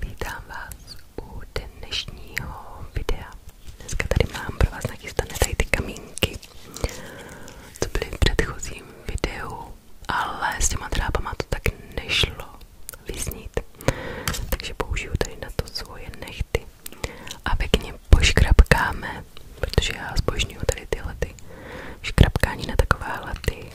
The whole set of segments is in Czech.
Vítám vás u dnešního videa. Dneska tady mám pro vás nachystané tady ty kamínky, co byly v předchozím videu, ale s těma drábama to tak nešlo vyznít. Takže použiju tady na to svoje nechty a pěkně poškrapkáme, protože já zbožňuju tady tyhle ty škrapkání na takovéhle ty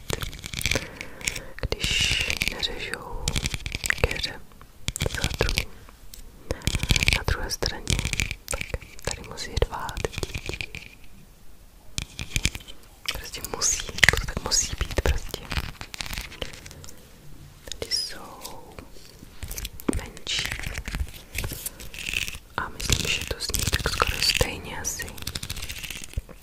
přijít, když neřežou keře za druhým. Na druhé straně, tak tady musí dvát děti. Prostě musí, to tak musí být prostě. Tady jsou menší a myslím, že to zní tak skoro stejně asi. To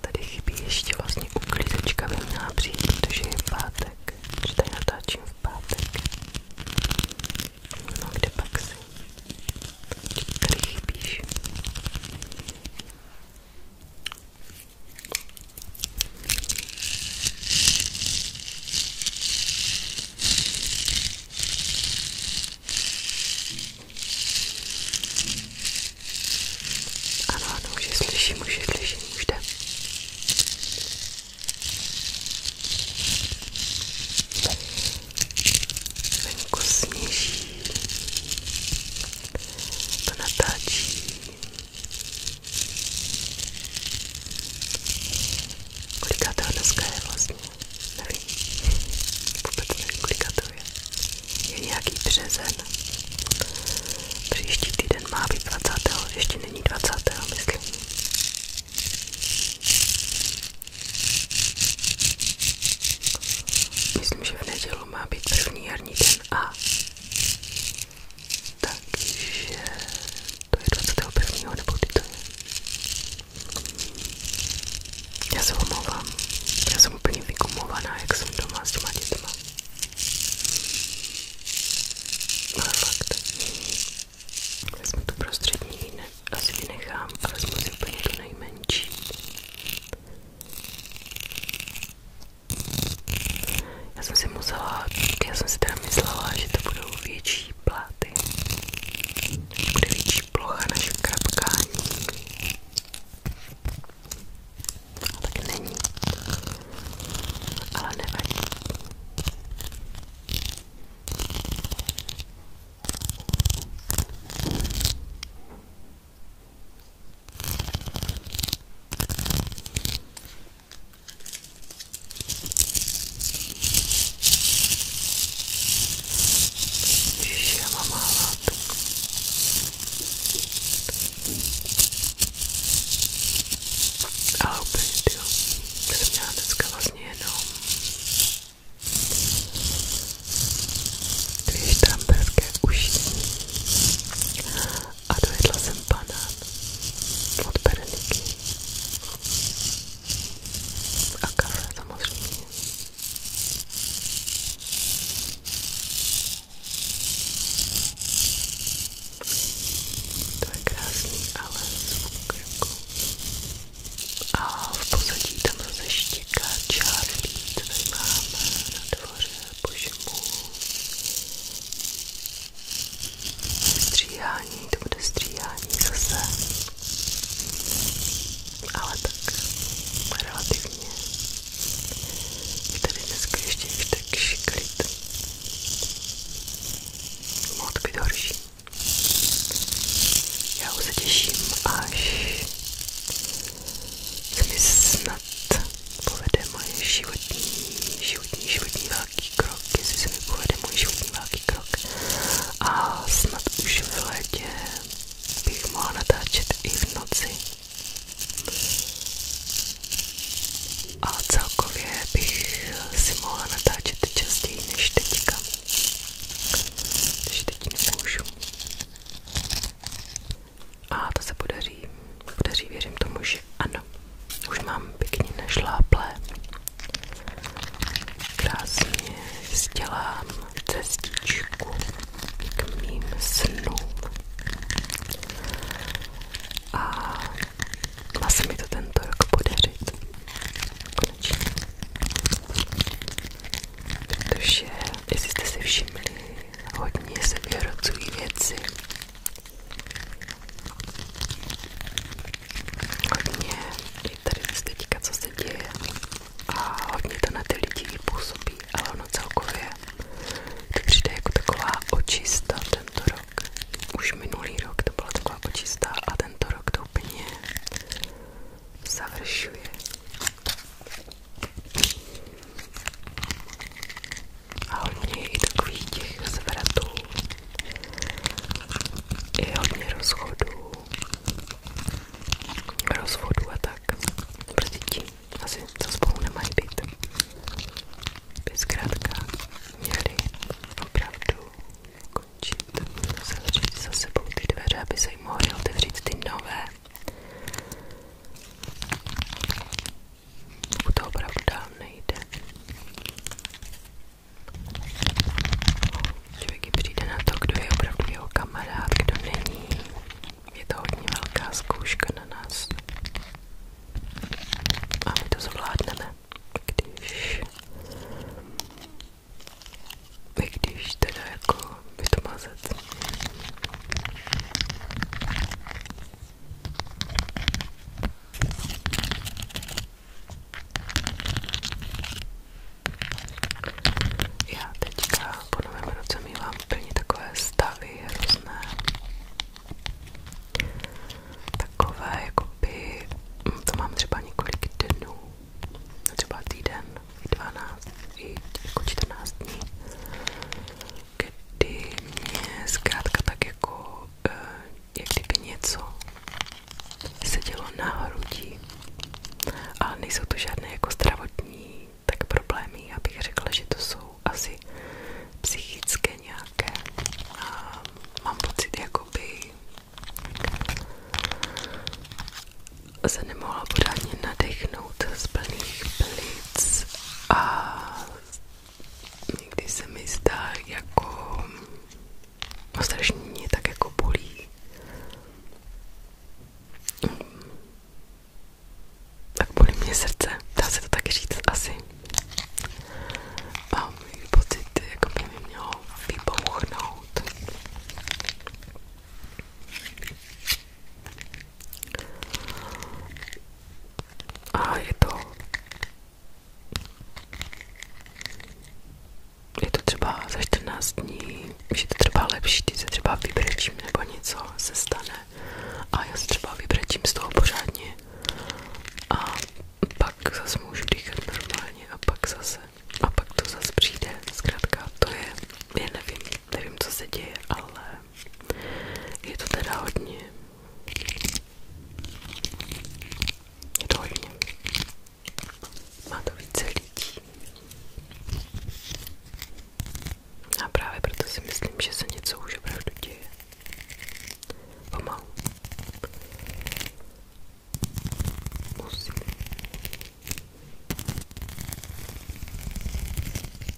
tady chybí ještě vlastně uklízečka by měla přijít, protože je pátek, že tady natáčím v pátek. No kde pak si? Tady chybíš? Ano, ano, už je slyším, už je slyším, už jde. Venku sněží, to natáčí Kolikátá dneska je vlastně? Nevím. Vůbec nevím, kolikátou je. Je nějaký březen. Příští týden má být 20. Ještě není 20. myslím. Myslím, že v neděli má být první jarní den a takže to je 21. nebo kdy to je. Já se omlouvám. Já jsem úplně vykumovaná, jak jsem doma s těma dětma. Ale fakt. Vezmu tu prostřední, ne, asi vynechám a vezmu si úplně tu nejmenší. Já jsem si musela, já jsem si teda myslela, že to budou větší pláty, že bude větší plocha na škrapkání. A tak není, ale nevadí. Ježiš, já mám málo látek. Ale úplně, tyjo, to jsem měla dneska vlastně jenom dvě štamberské ušní a dojedla jsem banán od Bereniky a kafe samozřejmě. To je krásný, ale zvuk jako. A v pozadí tam zase štěká čárlí, který máme na dvoře požmu. Stříhání, to bude stříhání zase. Ale tak relativně. Je tady dneska ještě víš tak šiklit. Mohl to být horší. Já už se těším, až se mi snad povede moje životní, životní, životní velký krok, jestli se mi povede můj životní velký krok. A snad už v létě bych mohla natáčet i v noci. A celkově bych si mohla natáčet častěji než teďka. Takže teď nemůžu. A to se podaří, podaří věřím tomu, že ano. Už mám pěkně našláplé. Krásně sdělám cestičku k mým snům. A má se mi to tento rok podařit. Konečně. Protože, jestli jste si všimli, hodně se vyhrocují věci. Hodně je tady teďka, co se děje a hodně to na ty lidi působí, ale ono celkově to přijde jako taková očista tento rok. Už minulý rok to byla taková očista a tento rok to úplně završuje. A hodně je i takových těch zvratů. Je hodně rozchodů. Rozvodů a tak. Pro prostě děti asi to spolu nemají být. By zkrátka měli opravdu končit. Zavřít za sebou ty dveře, aby se jim mohly otevřít ty nové. Pokud to opravdu dál nejde. Člověk přijde na to, kdo je opravdu jeho kamarád, kdo není. Je to hodně velká zkouška na nás. A my to zvládneme, když... Když teda jako vytmazet. Já teďka po novém roce mývám plně takové stavy různé. Takové, jakoby, hm, to mám třeba několik dnů, třeba týden, i 12, i jako 14 dní kdy mě zkrátka tak jako, eh, jak kdyby něco sedělo na hrudi. Ale nejsou to žádné jako zdravotní tak problémy, já bych řekla, že to jsou asi psychické nějaké. A mám pocit, jakoby se nemohla pořádně nadechnout z plných plic a někdy se mi zdá jako no strašně mě tak jako bolí. Tak bolí mě srdce, dá se to taky říct asi. Mám pocit, jako by mi mělo vypouchnout. A je to... Je to třeba za 14 dní, že to třeba lepší, ty se třeba vybrečím nebo něco se stane a já se třeba vybrečím z toho pořádně a pak zase můžu dýchat normálně a pak zase a pak to zase přijde, zkrátka to je, je nevím, nevím, co se děje, ale je to teda hodně. Je to hodně. Má to více lidí. A právě proto si myslím, že se něco už opravdu děje. Pomalu. Musím.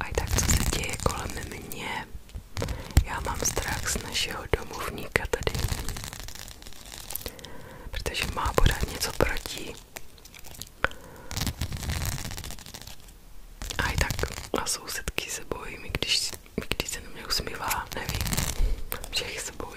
A tak, co se děje kolem mě? Já mám strach z našeho domovníka tady. Protože má pořád něco proti. A i tak a sousedky se bojí, když, když se na mě usmívá, nevím, všech se bojí.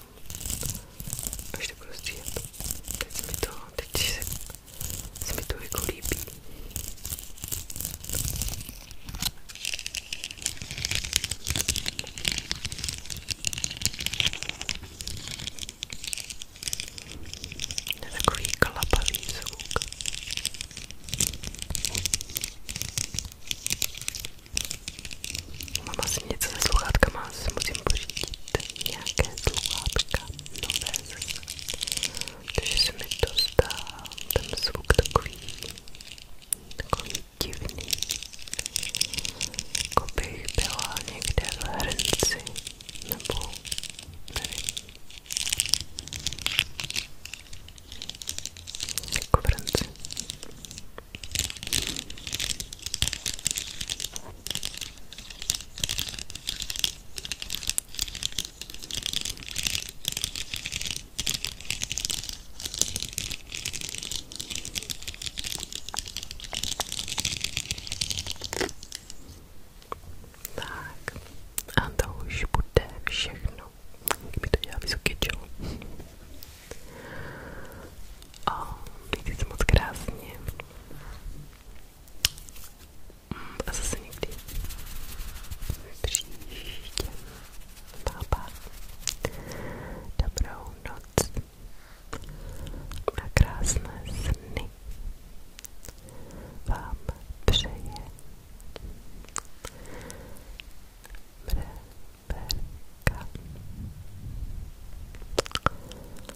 Až to budu stříhat. Prostě teď to, teď se, se mi to jako líbí. To je takový klapavý se sluchátkama, asi musím pořídit nějaké sluchátka nové zase, protože se mi to zdá ten zvuk takový, takový divný, jako bych byla někde v hrnci, nebo nevím, jako v hrnci. Tak, a to už bude všechno. Kdyby to dělá vysoký čelo a vždycky moc krásně. Mm, a zase někdy příště. Pápa. Dobrou noc. A krásné sny. Vám přeje. Reberka.